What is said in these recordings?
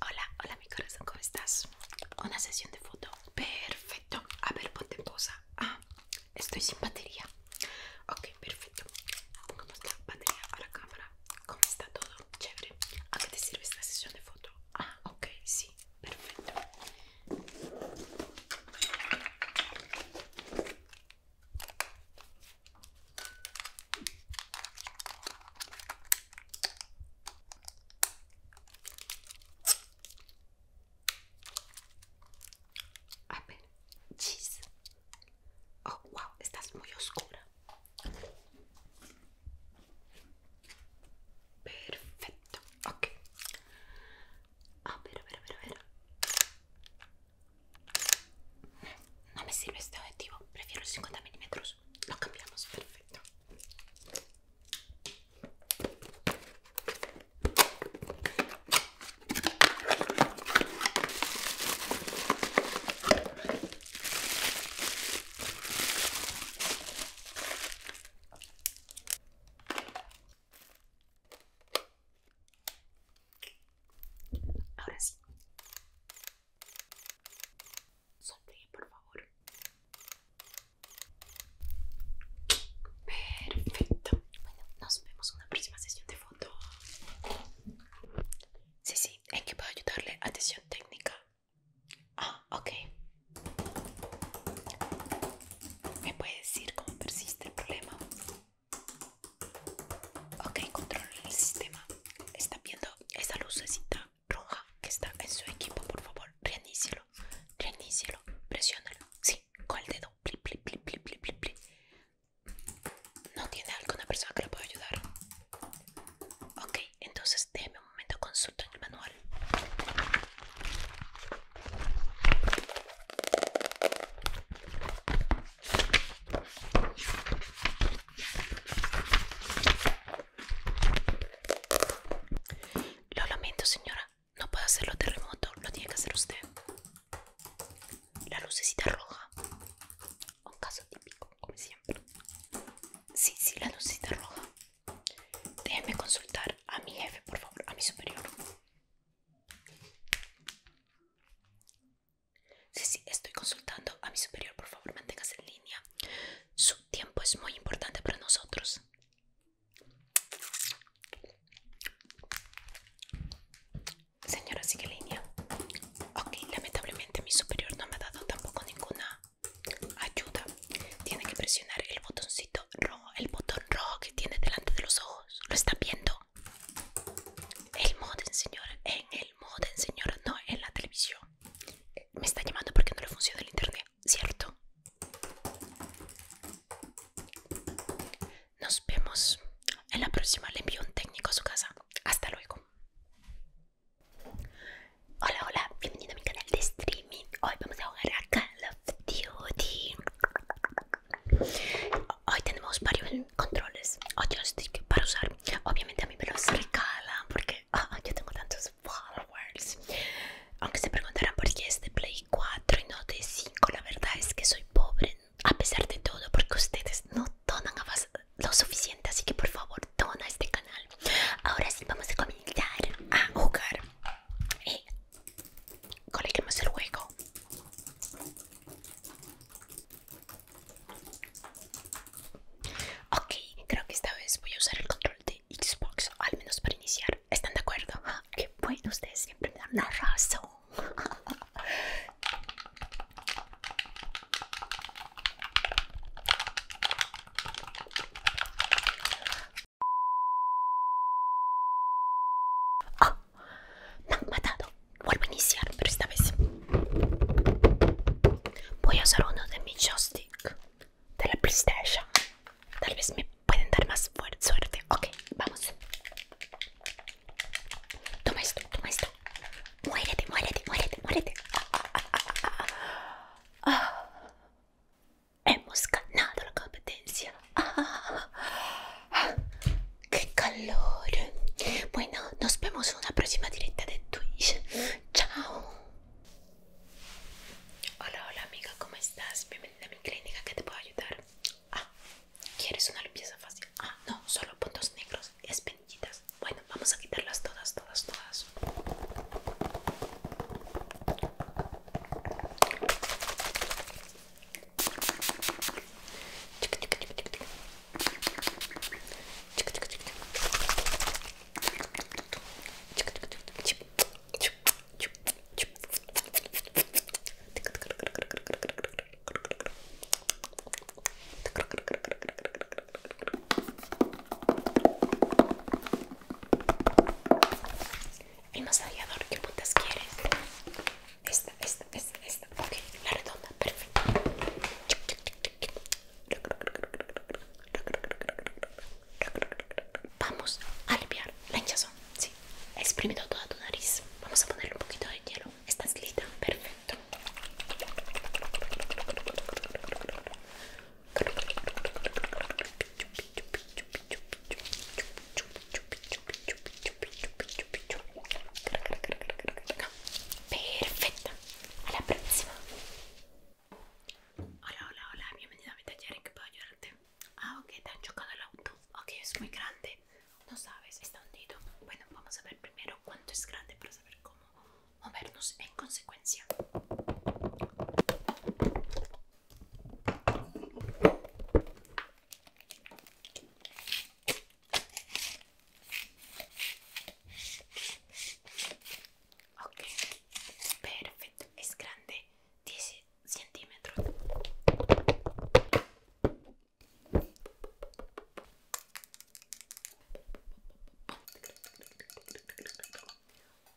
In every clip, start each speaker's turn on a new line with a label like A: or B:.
A: Hola, hola mi corazón, ¿cómo estás? Una sesión de foto. Perfecto. A ver, ponte en posa. Ah, estoy sin batería. Ok, perfecto. Pongamos la batería a la cámara. ¿Cómo está todo? Chévere. ¿A qué te sirve esta sesión de foto? Ah, ok, sí. Perfecto. A Oh, wow, estás muy oscura. Perfecto, ok. A ver, a ver, a No me sirve este objetivo, prefiero 50 milímetros. Lo cambiamos, perfecto. Ahora sí. Sonríe, por favor. Perfecto. Bueno, nos vemos en una próxima sesión de foto. Sí, sí, ¿en qué puedo ayudarle? Atención técnica. Ah, ok. ¿Me puede decir cómo persiste el problema? Ok, control el sistema. Está viendo esa lucecita roja que está en su equipo, por favor, reinícielo, reinícielo, presiónalo, sí, con el dedo, ¿No tiene alguna persona que lo pueda ayudar? Ok, entonces déjeme un momento, consulta en el manual. Lo lamento, señora. No puedo hacerlo terremoto. terremoto Lo tiene que hacer usted. La lucecita roja. Un caso típico, como siempre. Sí, sí, la lucecita roja. Déjeme consultar a mi jefe, por favor, a mi superior. Sí, sí, estoy consultando a mi superior. Por favor, manténgase en línea. Su tiempo es muy importante para nosotros. Señora, sigue línea. Ok, lamentablemente mi superior no me ha dado tampoco ninguna ayuda. Tiene que presionar el botoncito rojo, el botón rojo que tiene delante de los ojos. ¿Lo está viendo? El modem, señora, en modo señor. no en la televisión. Eh, me está llamando porque no le funciona el internet, ¿cierto? Nos vemos. En la próxima le envío un técnico a su casa. Hasta luego. Hola, hola. Bienvenido a mi canal de streaming. Hoy vamos a jugar a Call of Duty. Hoy tenemos varios controles o joystick para usar. Obviamente a mí me los regalan porque ah, yo tengo tantos followers. Aunque se preguntarán por qué es de Play 4 y no de 5, la verdad es que soy pobre a pesar de todo porque ustedes no donan lo suficiente, así que por favor dona este canal. Ahora sí vamos a comenzar a jugar. Y eh, el juego. Ok, creo que esta vez voy a usar el control de Xbox, al menos para iniciar. ¿Están de acuerdo? que ah, ¡Qué bueno! Ustedes siempre me dan la razón. Ah, no, matado. Vuelvo a iniciar, pero esta vez voy a usar uno de mis joystick de la PlayStation. Tal vez me pueden dar más suerte. Ok, vamos. Toma esto, toma esto. Muérete, muérete, muérete, muérete. Hemos ganado la competencia. ¡Qué calor! Bueno, nos vemos en una próxima directa de Twitch. ¡Chao! Hola, hola amiga, ¿cómo estás? Bienvenida a mi clínica, ¿qué te puedo ayudar? Ah, ¿quieres una limpieza fácil? Ah, no, solo puntos negros y espinillitas. Bueno, vamos a quitarlas todas, todas, todas. El masajeador, ¿qué putas quieres? esta, esta, esta, esta. Ok, la redonda, perfecto. Vamos a limpiar la hinchazón. Sí, Exprime exprimido toda tu nariz. Vamos a ponerle un poquito de hielo. esta es linda, perfecto. Perfecto. Perfecta. A la próxima. Hola, hola, hola. Bienvenida a mi taller. ¿En qué puedo ayudarte? Ah, ok, te han chocado el auto. Ok, es muy grande. No sabes, está hundido. Bueno, vamos a ver primero cuánto es grande para saber cómo movernos en consecuencia. Ok, perfecto, es grande, 10 centímetros.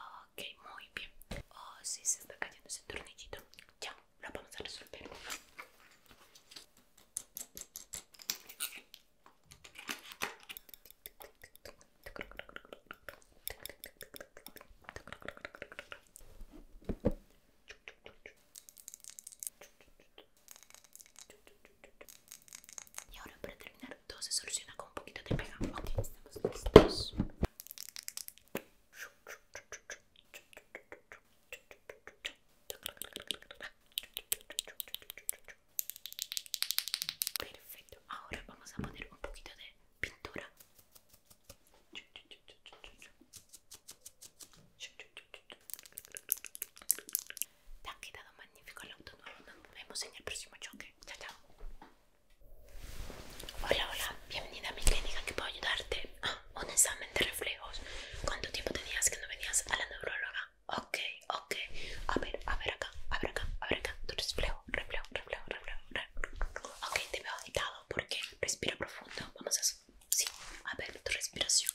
A: Ok, muy bien. Oh, sí, se está cayendo ese tornillito. Ya, lo vamos a resolver. Y ahora para terminar todo se soluciona con un poquito de pegamento. estamos listos. Perfecto, ahora vamos a poner un poquito de pintura. Te ha quedado magnífico el auto Nos vemos en el próximo choque. Chao, chao. Hola, hola. Bienvenida a mi clínica. que puedo ayudarte? un examen de reflejos. ¿Cuánto tiempo tenías que no venías a la neuróloga? Ok, ok. A ver, a ver acá, a ver acá, a ver acá. Tu reflejo, reflejo, reflejo, reflejo. reflejo. Ok, te veo agitado porque respira profundo. Vamos a Sí, a ver tu respiración.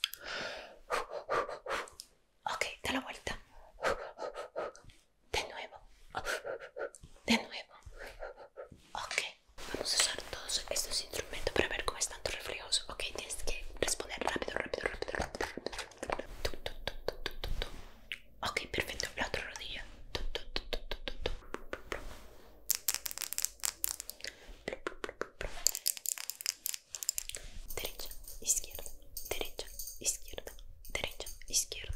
A: Ok, da la vuelta. De nuevo. De nuevo. Ok. Vamos a usar todos estos instrumentos para ver cómo están tus reflejos. Ok, tienes que responder rápido, rápido, rápido, rápido. Ok, perfecto. La otra rodilla. Derecha, izquierda, derecha, izquierda, derecha, izquierda.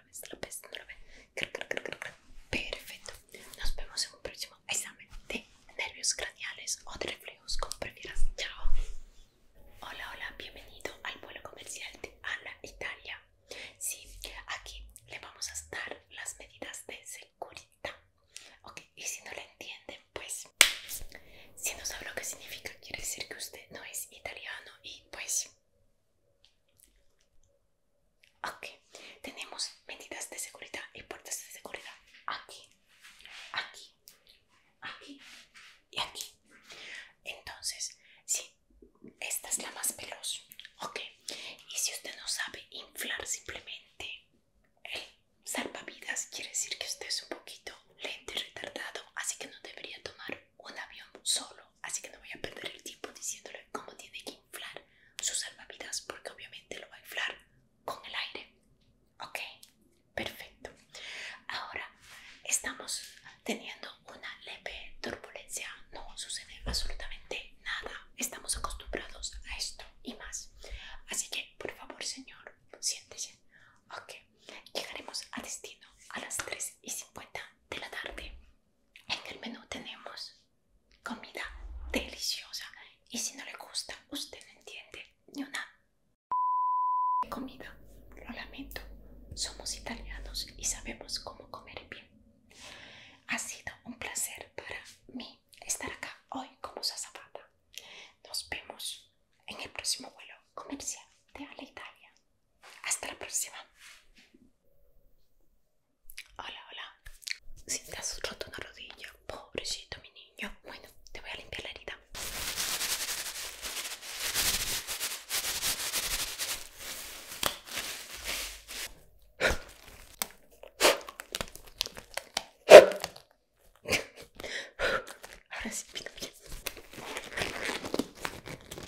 A: Perfecto. Nos vemos en un próximo examen de nervios craneales o de reflejos, como prefieras. Chao. Hola, hola, bienvenido al vuelo comercial de Ana Italia. Sí, aquí le vamos a dar las medidas de seguridad. Ok, y si no lo entienden, pues si no sabe lo que significa, quiere decir que usted no es italiano y pues Ok, tenemos medidas de seguridad y puertas de seguridad aquí, aquí, aquí y aquí. Entonces, sí, esta es la más veloz. Ok, y si usted no sabe inflar simplemente el salvavidas, quiere decir que usted es un poquito lento y retardado, así que no debería tomar un avión solo así que no voy a perder el tiempo diciéndole cómo tiene que inflar sus salvavidas porque obviamente lo va a inflar con el aire. Ok, perfecto. Ahora estamos teniendo una leve turbulencia, no sucede absolutamente nada. Estamos acostumbrados a esto y más. Así que, por favor, señor, siéntese. Ok, llegaremos a destino a las 3 y 50 de la tarde. En el menú tenemos comida deliciosa y si no le gusta, usted no entiende ni una comida. Lo lamento, somos italianos y sabemos cómo comer bien. Ha sido un placer para mí estar acá hoy como Zapata, Nos vemos en el próximo vuelo comercial de la Italia. Hasta la próxima. Hola, hola. Si te has roto una rodilla, pobrecito mi niño. Bueno, te voy a limpiar la herida. Ahora sí,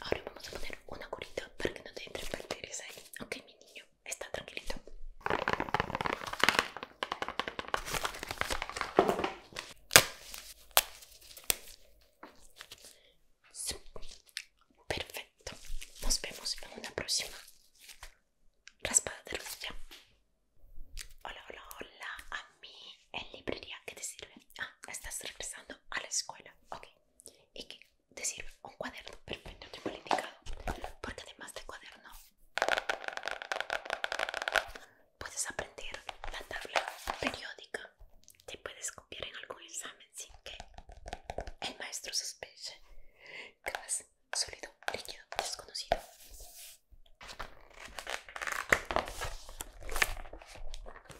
A: Ahora vamos a poner una curita para que no te entre bacterias ahí. Ok, mi niño, está tranquilito. Perfecto. Nos vemos en una próxima raspada de ya. Hola, hola, hola. A mí en librería, que te sirve? Ah, estás regresando a la escuela. Ok. ¿Y que te sirve? Un cuaderno. Perfecto, te he indicado. Porque además de cuaderno, puedes aprender la tabla periódica. Te puedes copiar en algún examen sin que el maestro sospeche que sólido, líquido, desconocido.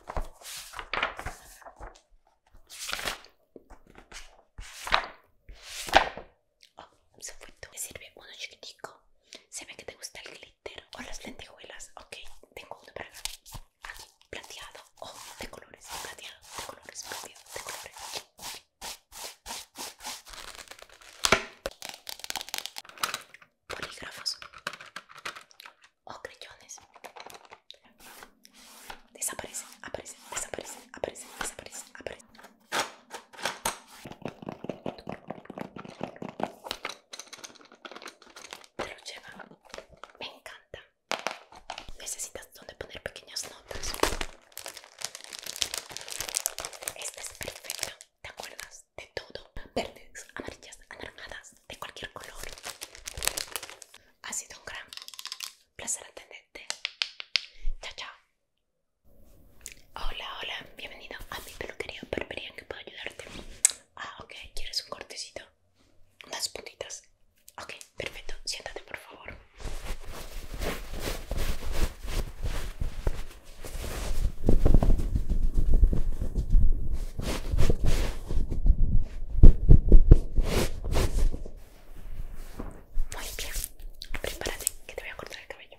A: Oh, se fue Me sirve uno chiquitico. Se ve que te gusta el glitter o las lentejuelas. Ok, tengo uno para plateado. Oh, de colores, plateado, de colores, plateado, de colores polígrafos o oh, desaparece, desaparecen, aparecen, desaparecen, aparecen, desaparecen, aparecen. Te lo me encanta. Necesitas donde poner pequeñas notas. Este es perfecto. ¿Te acuerdas de todo? Verdes, amarillas, anaranjadas, de cualquier color. Ha sido un gran placer atenderte. Chao, chao. Hola, hola. Bienvenido a mi peluquería barbería que puedo ayudarte. Ah, ok. ¿Quieres un cortecito? Unas puntitas. Ok, perfecto. Siéntate, por favor. Muy bien, prepárate que te voy a cortar el cabello.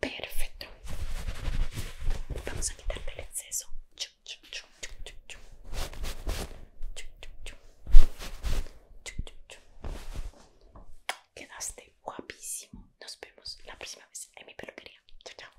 A: Perfecto. Vamos a quitarle el exceso. Quedaste guapísimo. Nos vemos la próxima vez en mi peluquería. chao.